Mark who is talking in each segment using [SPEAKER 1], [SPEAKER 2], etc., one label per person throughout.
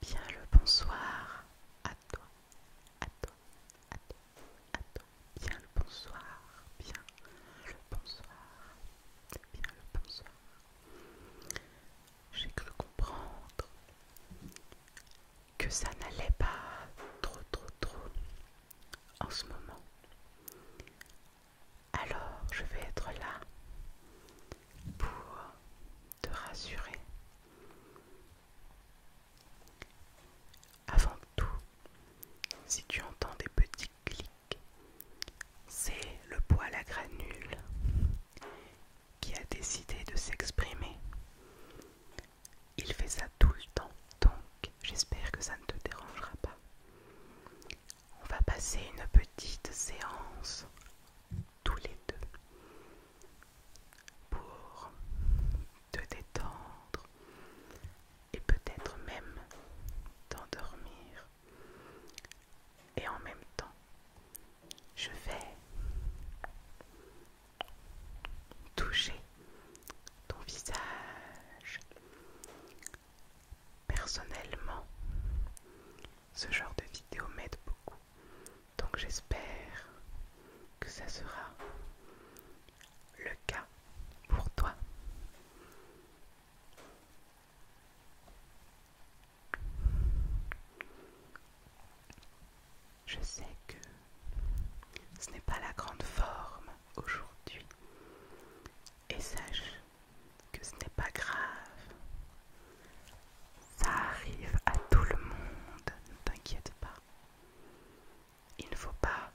[SPEAKER 1] Bien le bonsoir à toi, à toi, à toi, à toi. Bien le bonsoir, bien le bonsoir, bien le bonsoir. J'ai cru comprendre que ça n'allait pas trop, trop, trop en ce moment alors je vais être là pour te rassurer. Avant tout, si tu entends des petits clics, c'est le poil à granule qui a décidé de s'exprimer. Il fait ça tout le temps, donc j'espère que ça ne te dérangera pas. On va passer une petite séance tous les deux pour te détendre et peut-être même t'endormir. Et en même temps, je vais toucher ton visage Personnellement, ce genre de vidéo m'aide beaucoup. Donc j'espère que ça sera le cas pour toi. Je sais que ce n'est pas la grande forme aujourd'hui. Et sache que ce n'est pas grave. Ça arrive à tout le monde, ne t'inquiète pas. Il ne faut pas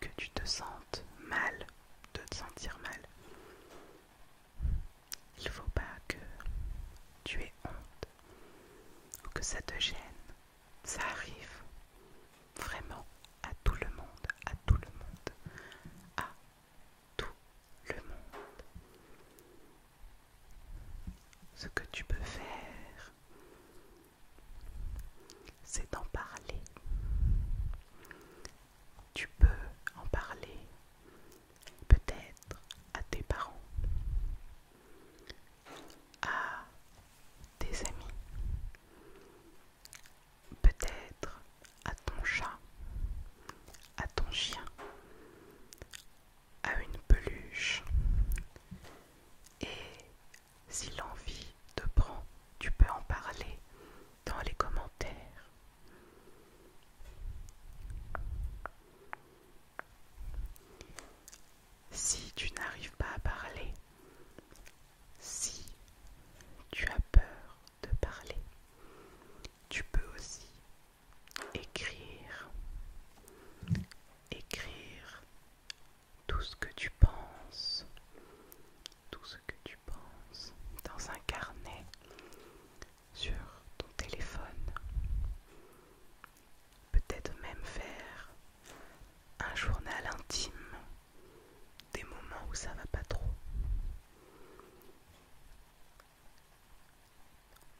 [SPEAKER 1] que tu te sentes mal, de te sentir mal. Il ne faut pas que tu aies honte ou que ça te gêne. Ça arrive vraiment à tout le monde, à tout le monde, à tout le monde. Ce que tu peux faire, c'est d'en parler. Tu peux en parler peut-être à tes parents, à tes amis, peut-être à ton chat, à ton chien, à une peluche. Et si l'envie te prend, tu peux en parler dans les commentaires. Si tu n'arrives pas à parler, si tu as peur de parler, tu peux aussi écrire, écrire tout ce que tu penses, tout ce que tu penses dans un carnet sur ton téléphone. Peut-être même faire un journal intime des moments où ça va pas trop,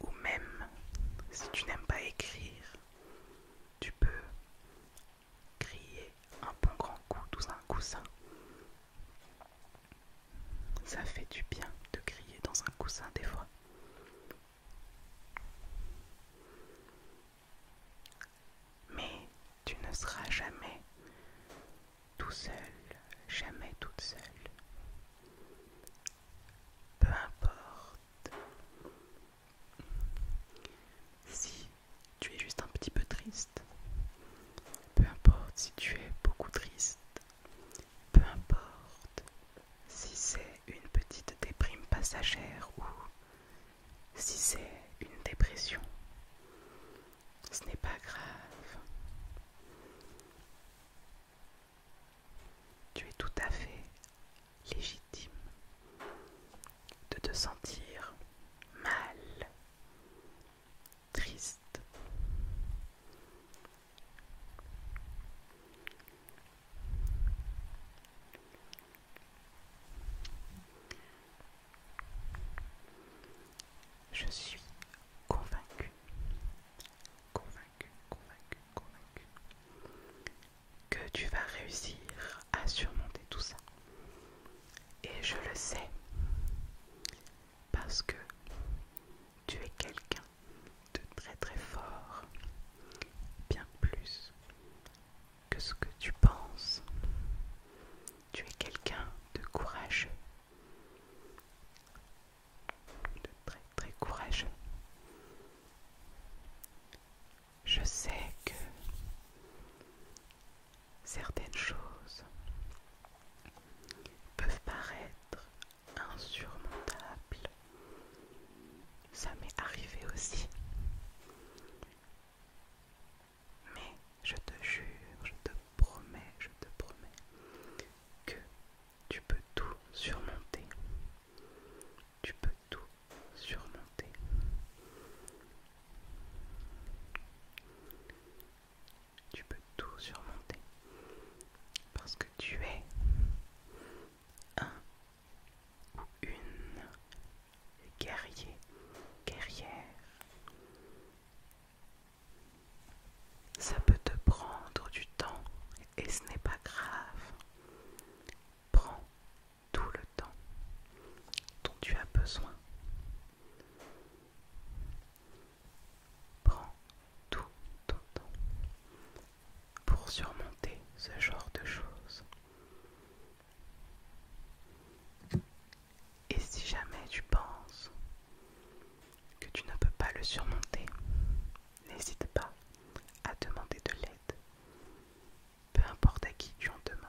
[SPEAKER 1] ou même si tu n'aimes pas écrire, tu peux crier un bon grand coup dans un coussin. Ça fait du bien de crier dans un coussin des fois. Mais tu ne seras jamais tout seul, jamais toute seule. Peu importe si tu es juste un petit peu triste, peu importe si tu es beaucoup triste, peu importe si c'est une petite déprime passagère ou si c'est une dépression, ce n'est pas grave. Tu es tout à fait légitime de te sentir mal, triste. Je suis convaincue, convaincue, convaincue, convaincue que tu vas réussir à surmonter tout ça. Et je le sais parce que tu es quelqu'un de très très fort, bien plus que ce que tu penses. Tu es quelqu'un de courageux. De très très courageux. Je sais que certaines choses peuvent paraître insurmontables. Ça m'est arrivé aussi. Mais je te jure, je te promets, je te promets que tu peux tout surmonter. Tu peux tout surmonter. Tu peux tout surmonter. Parce que tu es un une guerrier, guerrière. Ça peut te prendre du temps et ce n'est pas grave. Prends tout le temps dont tu as besoin. Prends tout ton temps pour surmonter ce genre de choses. Et si jamais tu penses que tu ne peux pas le surmonter, n'hésite pas à demander de l'aide, peu importe à qui tu en demandes.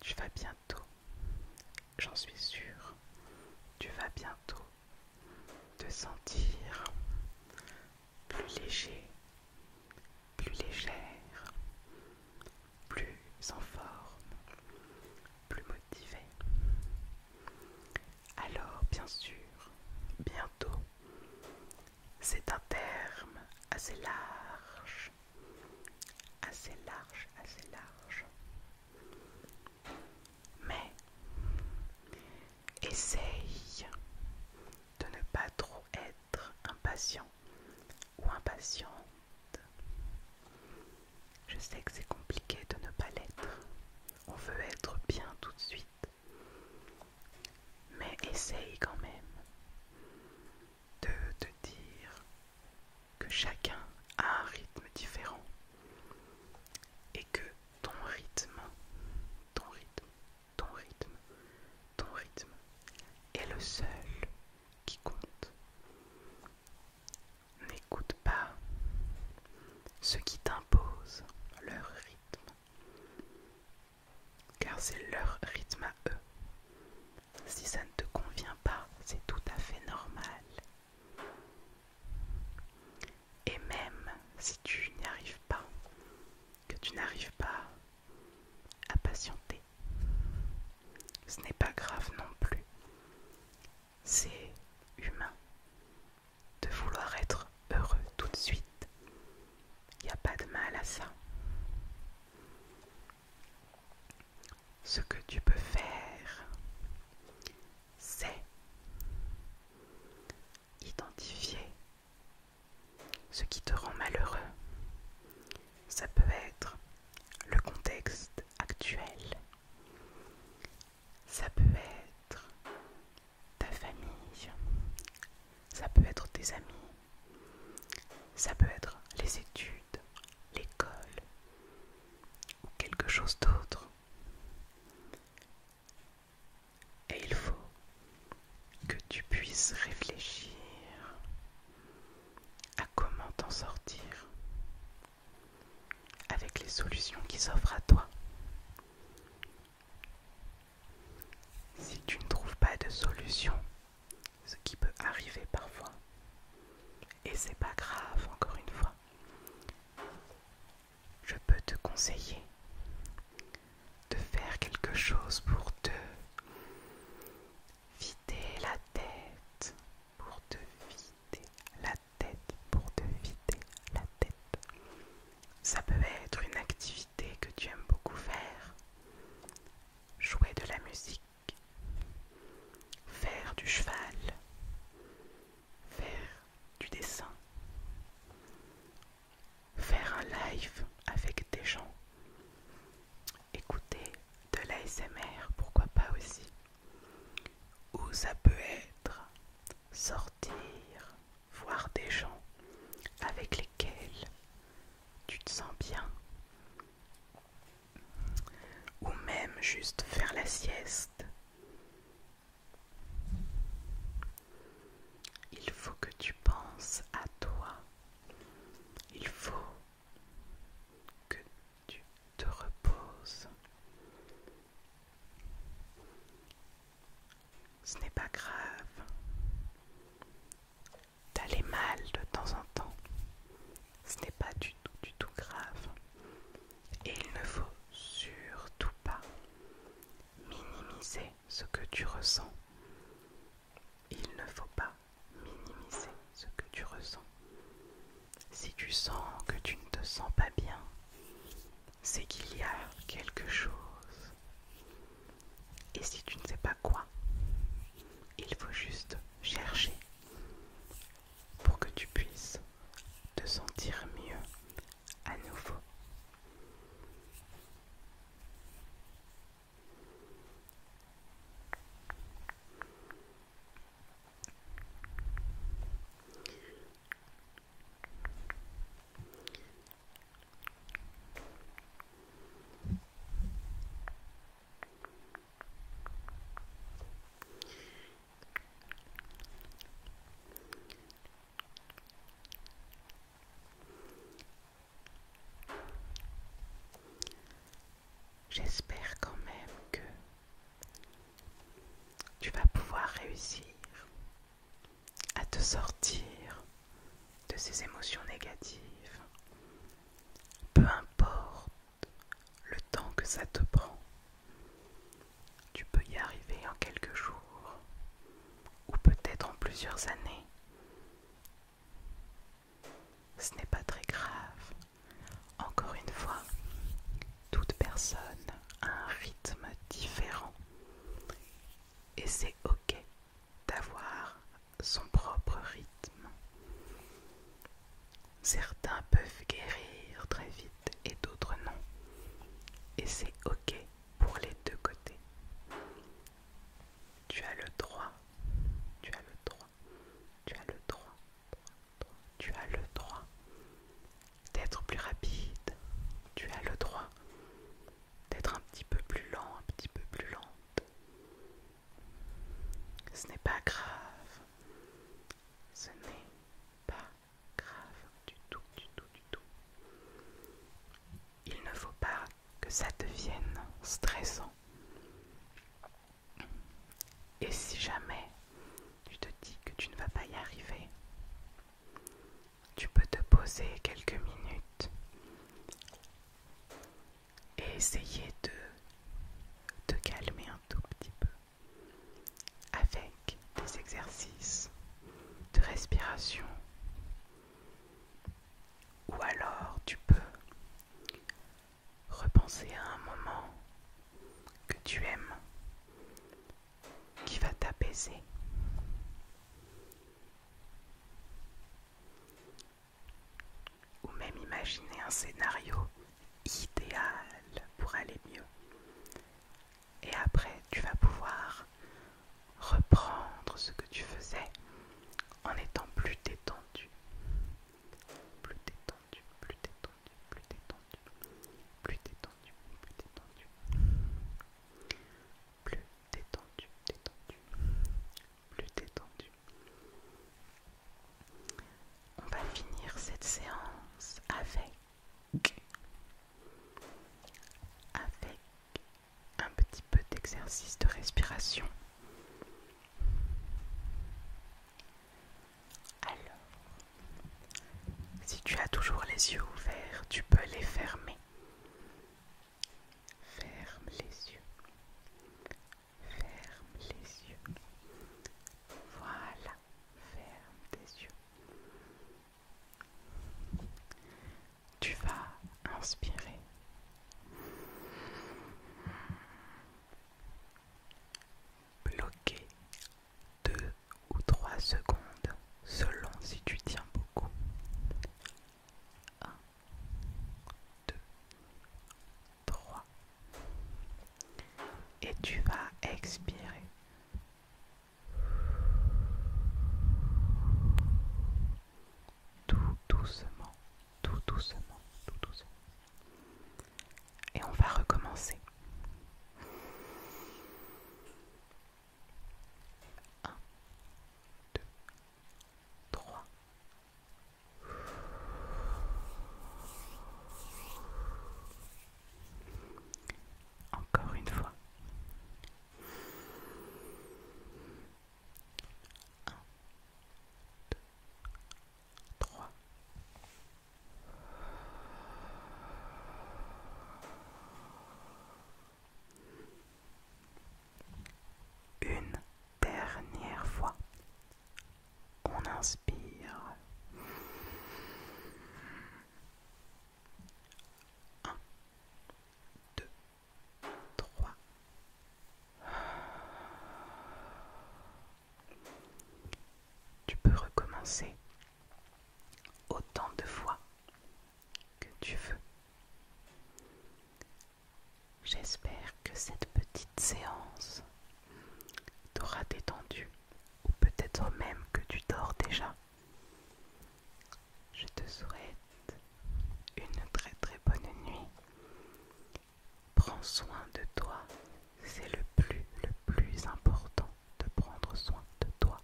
[SPEAKER 1] Tu vas bientôt, j'en suis sûr. tu vas bientôt te sentir plus léger, plus légère, plus en forme, plus motivé. Alors, bien sûr, bientôt, c'est un terme assez large, assez large, assez large. Mais essaye de ne pas trop être impatient ou impatiente. Je sais que c'est compliqué de ne pas l'être. On veut être bien tout de suite. Mais essaye quand même de te dire que chacun a un rythme différent et que ton rythme, ton rythme ton rythme, ton rythme est le seul qui compte. N'écoute pas ce qui t'imposent leur rythme, car c'est leur rythme à eux. Si ça ne te convient pas, c'est tout à fait normal. Et même si tu n'y arrives pas, que tu n'arrives pas à patienter. Ce n'est pas grave non plus. C'est humain de vouloir être heureux tout de suite. Il n'y a pas de mal à ça. Ce que tu peux faire, c'est identifier ce qui te rend malheureux, ça peut être le contexte actuel, ça peut être ta famille, ça peut être tes amis, ça peut être les études, l'école ou quelque chose d'autre. Et il faut que tu puisses réfléchir à comment t'en sortir avec les solutions qui s'offrent à toi. Si tu ne trouves pas de solution, ce qui peut arriver parfois, et c'est pas grave encore une fois, je peux te conseiller de faire quelque chose pour te vider la tête, pour te vider la tête, pour te vider la tête. Ça peut être une activité que tu aimes beaucoup faire, jouer de la musique, faire du cheval, faire du dessin faire un live avec des gens, écouter de l'ASMR, pourquoi pas aussi. Ou ça peut être sortir, voir des gens avec lesquels tu te sens bien. Ou même juste faire la sieste. Il faut que tu penses à toi. Il faut que tu te reposes. Ce n'est pas grave d'aller mal de temps en temps. Ce n'est pas du tout, du tout grave. Et il ne faut surtout pas minimiser ce que tu ressens. Il ne faut pas minimiser ce que tu ressens. Si tu sens que tu ne te sens pas bien, c'est qu'il y a quelque chose. Et si tu ne sais pas quoi, il faut juste chercher pour que tu puisses te sentir mieux à nouveau. J'espère quand même que tu vas pouvoir réussir à te sortir de ces émotions négatives, peu importe le temps que ça te prend. Tu peux y arriver en quelques jours, ou peut-être en plusieurs années. Ce n'est pas très grave. Encore une fois, toute personne a un rythme différent et c'est ok d'avoir son propre rythme. Certains peuvent guérir très vite et d'autres non. Et c'est ok pour les deux côtés. Tu as le droit, tu as le droit, tu as le droit, tu as le droit d'être plus rapide, tu as le droit d'être un petit peu plus lent, un petit peu plus lente. Ce n'est pas grave, ce n'est pas grave du tout, du tout, du tout. Il ne faut pas que ça devienne stressant. Et si jamais tu te dis que tu ne vas pas y arriver, tu peux te poser quelques minutes et essayer de te calmer un tout petit peu avec des exercices de respiration ou alors tu peux repenser à un moment que tu aimes qui va t'apaiser. Ou même imaginer un scénario idéal pour aller mieux et après tu vas pouvoir reprendre ce que tu faisais en étant plus détendu. Plus détendu, plus détendu, plus détendu, plus détendu, plus détendu. Plus détendu, détendu, plus détendu. On va finir cette séance avec avec un petit peu d'exercice de respiration. Alors, si tu as toujours les yeux ouverts, tu peux les fermer. Ferme les yeux. Ferme les yeux. Voilà, ferme tes yeux. Tu vas inspirer. Bloquer deux ou 3 secondes selon si tu tiens beaucoup. 1, 2, 3. Et tu vas expirer. Tout doucement, tout doucement, tout doucement. Et on va recommencer. Encore une fois. Un, trois. Une dernière fois. On inspire. 1, 2, 3. Tu peux recommencer autant de fois que tu veux. J'espère que cette petite séance t'aura détendu ou peut-être même que tu dors déjà. Je te souhaite une très très bonne nuit. Prends soin de toi. C'est le plus le plus important de prendre soin de toi.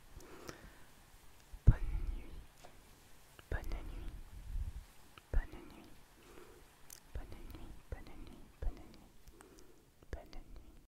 [SPEAKER 1] Bonne nuit. Bonne nuit. Bonne nuit. Bonne nuit. Bonne nuit. Bonne nuit. Bonne nuit. Bonne nuit.